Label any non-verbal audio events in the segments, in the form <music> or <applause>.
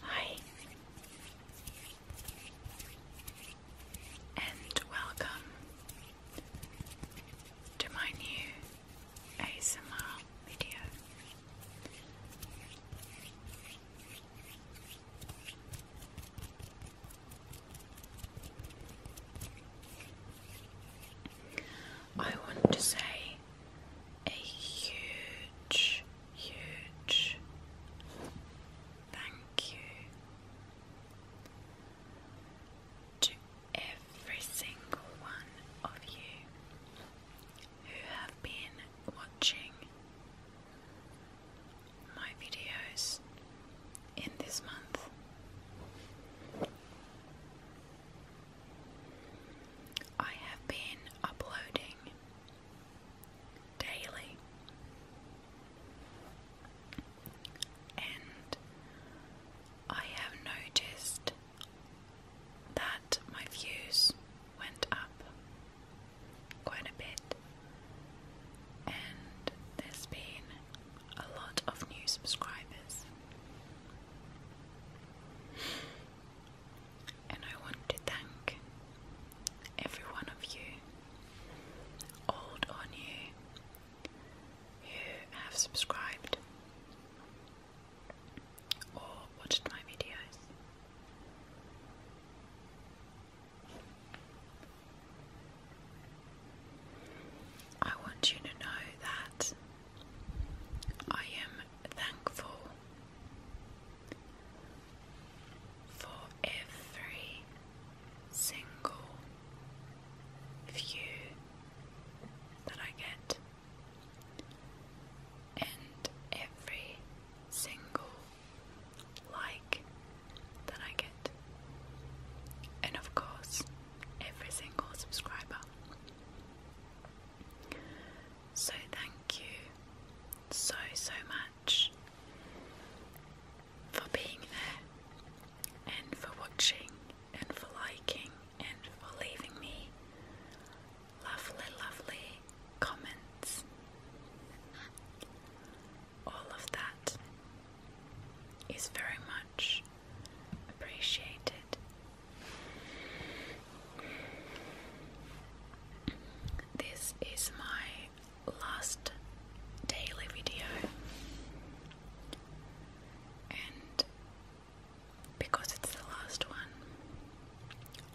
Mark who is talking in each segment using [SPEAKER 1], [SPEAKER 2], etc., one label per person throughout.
[SPEAKER 1] Hi, and welcome to my new ASMR video. I want to say a huge, huge thank you to every single one of you who have been watching my videos in this month. I have been uploading daily, and I have noticed that my views went up quite a bit, and there's been a lot of new subscribers and I want to thank every one of you, old or new, who have subscribed or watched my videos. I want you to know that I am thankful for every single view that I get and every single like that I get, and of course, every single subscriber. So, thank you so, so much for being there and for watching and for liking and for leaving me lovely, lovely comments. All of that is very much appreciated this is my last daily video, and because it's the last one,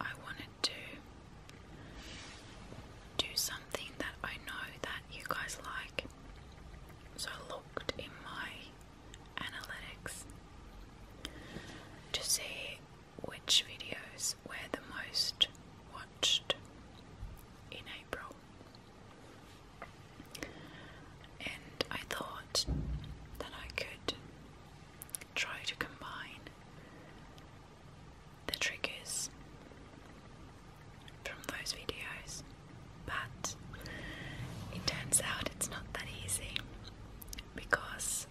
[SPEAKER 1] I wanted to do something that I know that you guys like. So I looked in my analytics to see which videos were the most watched in April. And I thought that I could try to combine the triggers from those videos, but it turns out it's not that easy because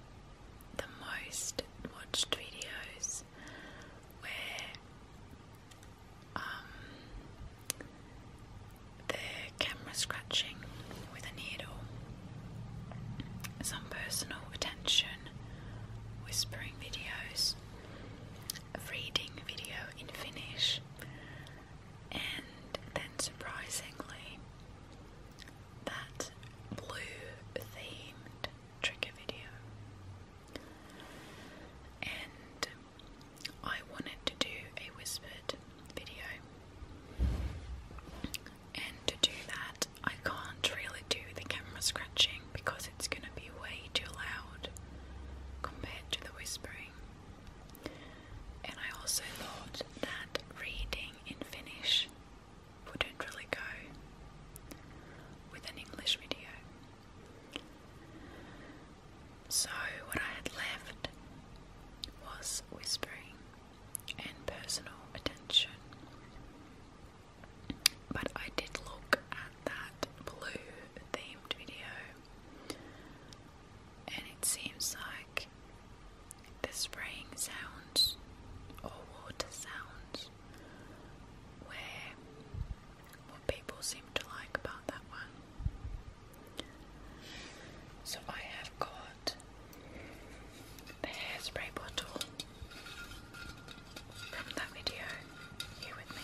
[SPEAKER 1] the most watched videos where um, the camera scratching with a needle, some personal attention, whispering videos, reading video in Finnish, and then surprisingly, that blue themed trigger video. And I wanted to do a whispered video, and to do that, I can't really do the camera scratching because it's going to be way too loud compared to the whispering. And I also thought that reading in Finnish wouldn't really go with an English video. So, what I had left was whispering and personal attention. But I did look at that blue themed video, and it seems like the spraying sounds or water sounds, where what people seem to like about that one. So I have got the hairspray bottle from that video here with me.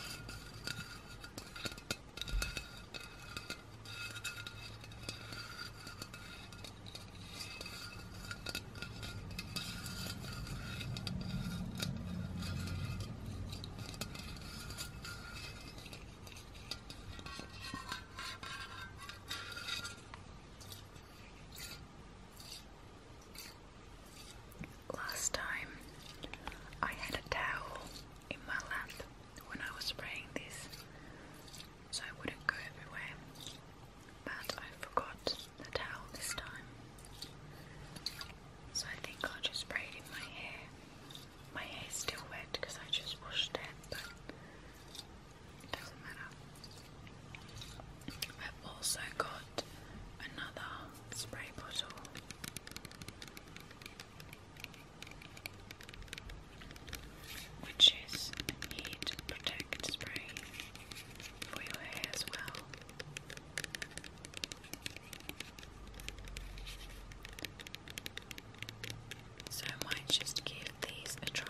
[SPEAKER 1] Last time I had a towel in my lap when I was spraying this so I wouldn't go everywhere. But I forgot the towel this time. So I think I'll just braid in my hair. My hair's still wet because I just washed it, but doesn't matter. I've also got another spray bottle which is heat protect spray for your hair as well. So I might just give these a try.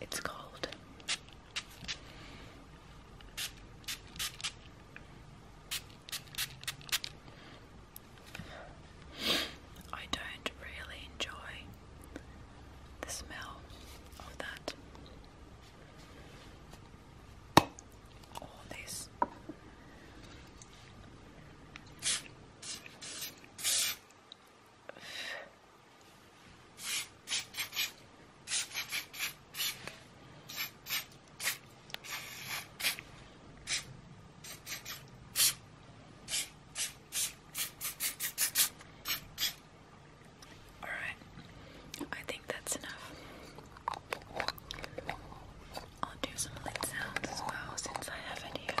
[SPEAKER 1] It's cold. I don't really enjoy the smell of that. All this. All right, I think that's enough. I'll do some lid sounds as well since I have it here.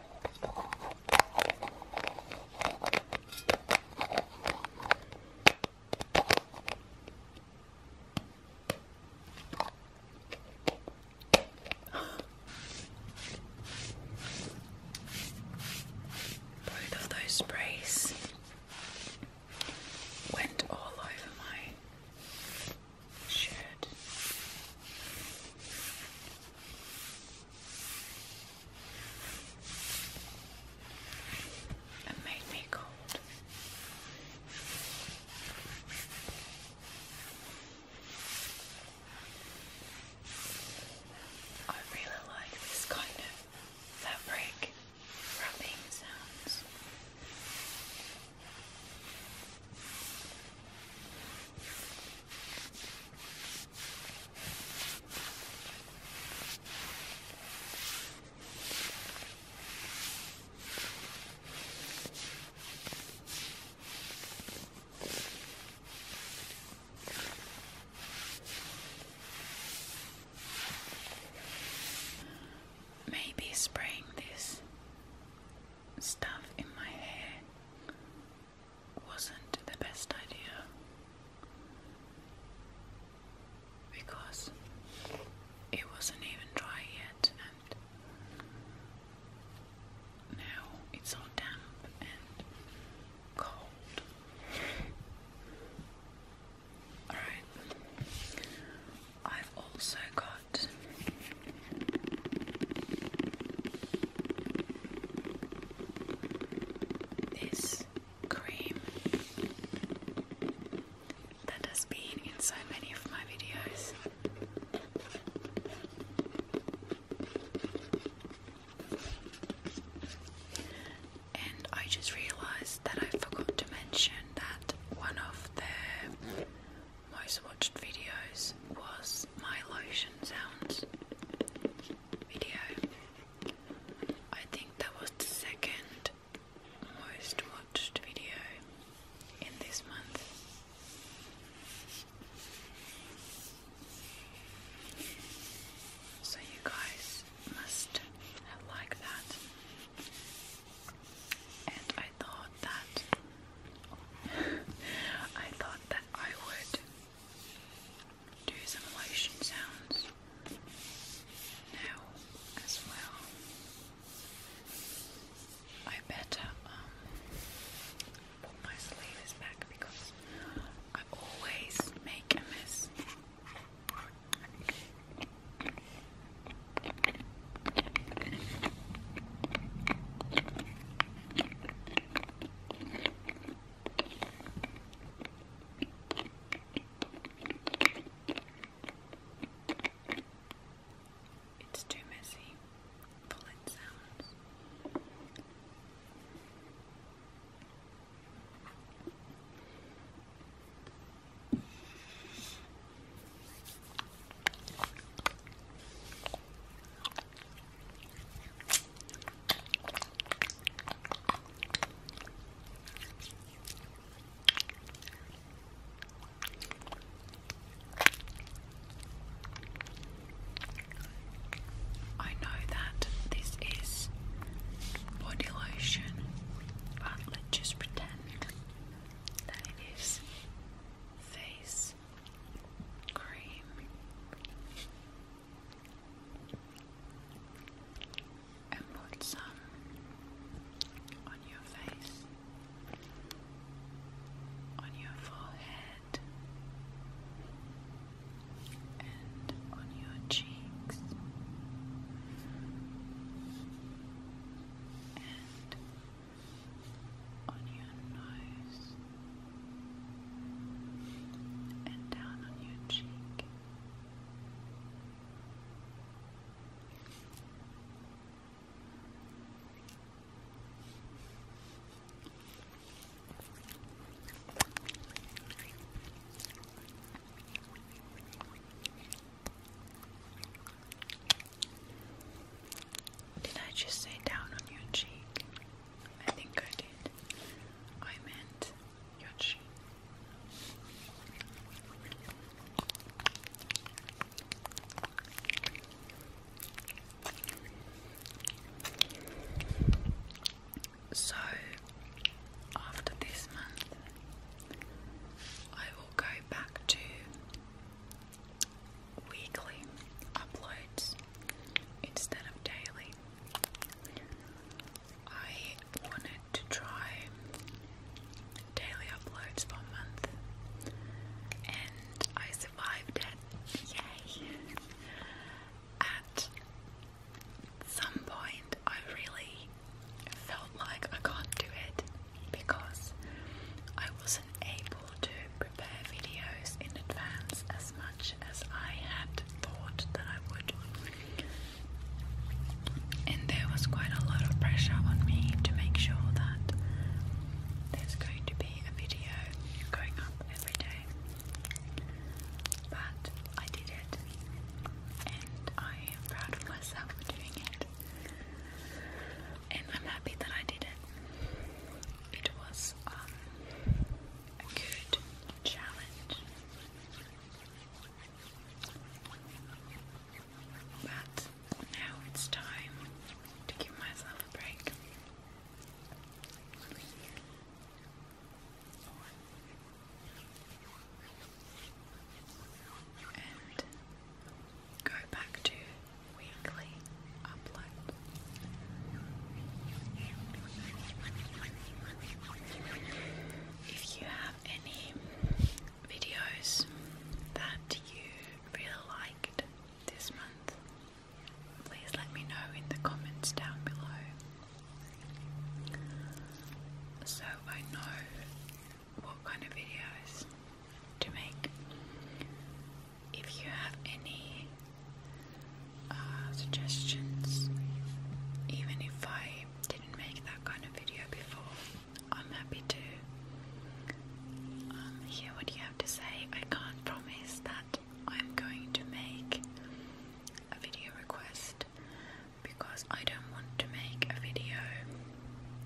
[SPEAKER 1] Both of those sprays went all over my shirt. It made me cold. I really like this kind of fabric rubbing sounds. Maybe spraying this stuff in my hair wasn't the best idea because it wasn't even dry yet, and now it's all damp and cold. Alright, I've also got this cream that has been in so many of my videos. And I just realised that I forgot to mention that one of their most watched videos was my lotion sounds video. I think that was the second most watched video in this month. So you guys must have liked that. And I thought that <laughs> I thought that I would do some lotion sounds now as well. I better um, put my sleeves back because I always make a mess. It's too messy for I know that this is body lotion, but let's just pretend that it is face this cream. And put some on your face, on your forehead, and on your cheeks, and on your nose and down on your cheek. Did I just say down on your cheek? I think I did. I meant your Yoshi. So, after this month, I will go back to weekly uploads instead of daily. I wanted to try daily uploads for a month and I survived it. Yay! At some point, I really felt like I can't do it because I wasn't able to prepare videos in advance as much as I had thought that I would. And there was quite a lot of pressure on me to make sure that there's going to be a video going up every day. But I did it, and I am proud of myself for doing it. And I'm happy that I did it. It was um, a good challenge. But now it's time to give myself a break. And go back to weekly upload. If you have any videos that you really liked this month, please let me know in the comments down below so I know what kind of videos to make if you have any uh, suggestions, even if I didn't make that kind of video before, I'm happy to um, hear what you have to say. I can't promise that I'm going to make a video request because I don't want to make a video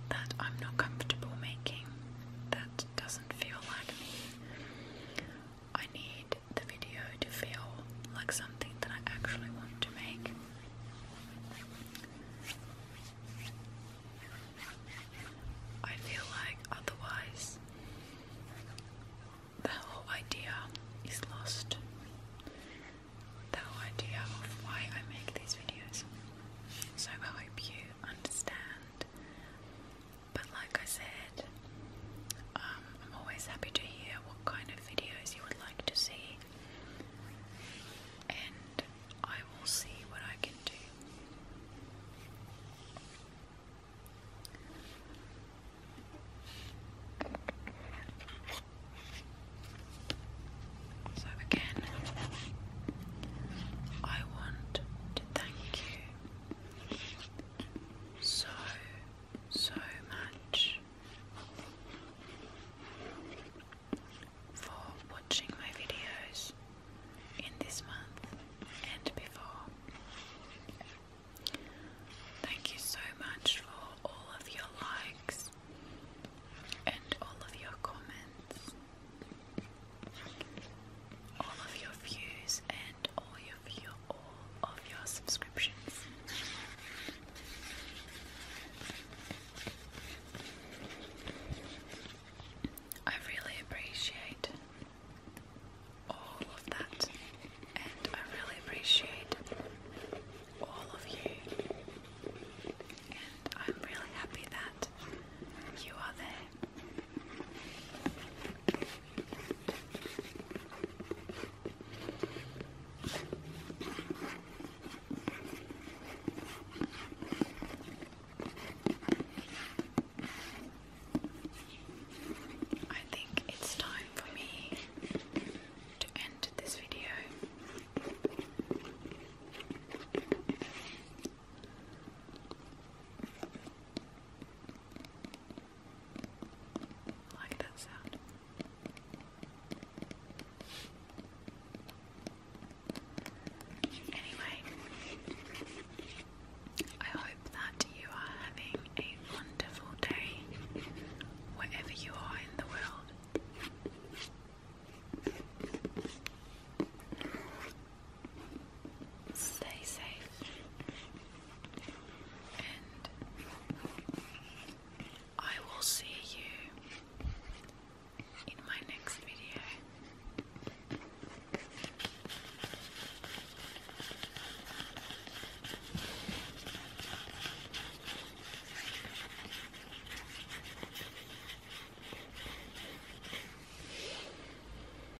[SPEAKER 1] that I'm not comfortable making, that doesn't feel like me. I need the video to feel like something that I actually want to make. I feel like otherwise the whole idea is lost. The whole idea of why I make these videos. So I hope you understand but like I said, um, I'm always happy to hear what kind of videos you would like to see, and I will see what I can do. So, again, I want to thank you so, so much for watching my videos in this month and before. Thank you so much for all of your likes and all of your comments, all of your views, and all your for your all of your subscriptions. I really appreciate all of that, and I really appreciate all of you, and I'm really happy that you are there. I think it's time for me to end this video. I Anyway, I hope that you are having a wonderful day wherever you are in the world stay safe, and I will see you in my next video.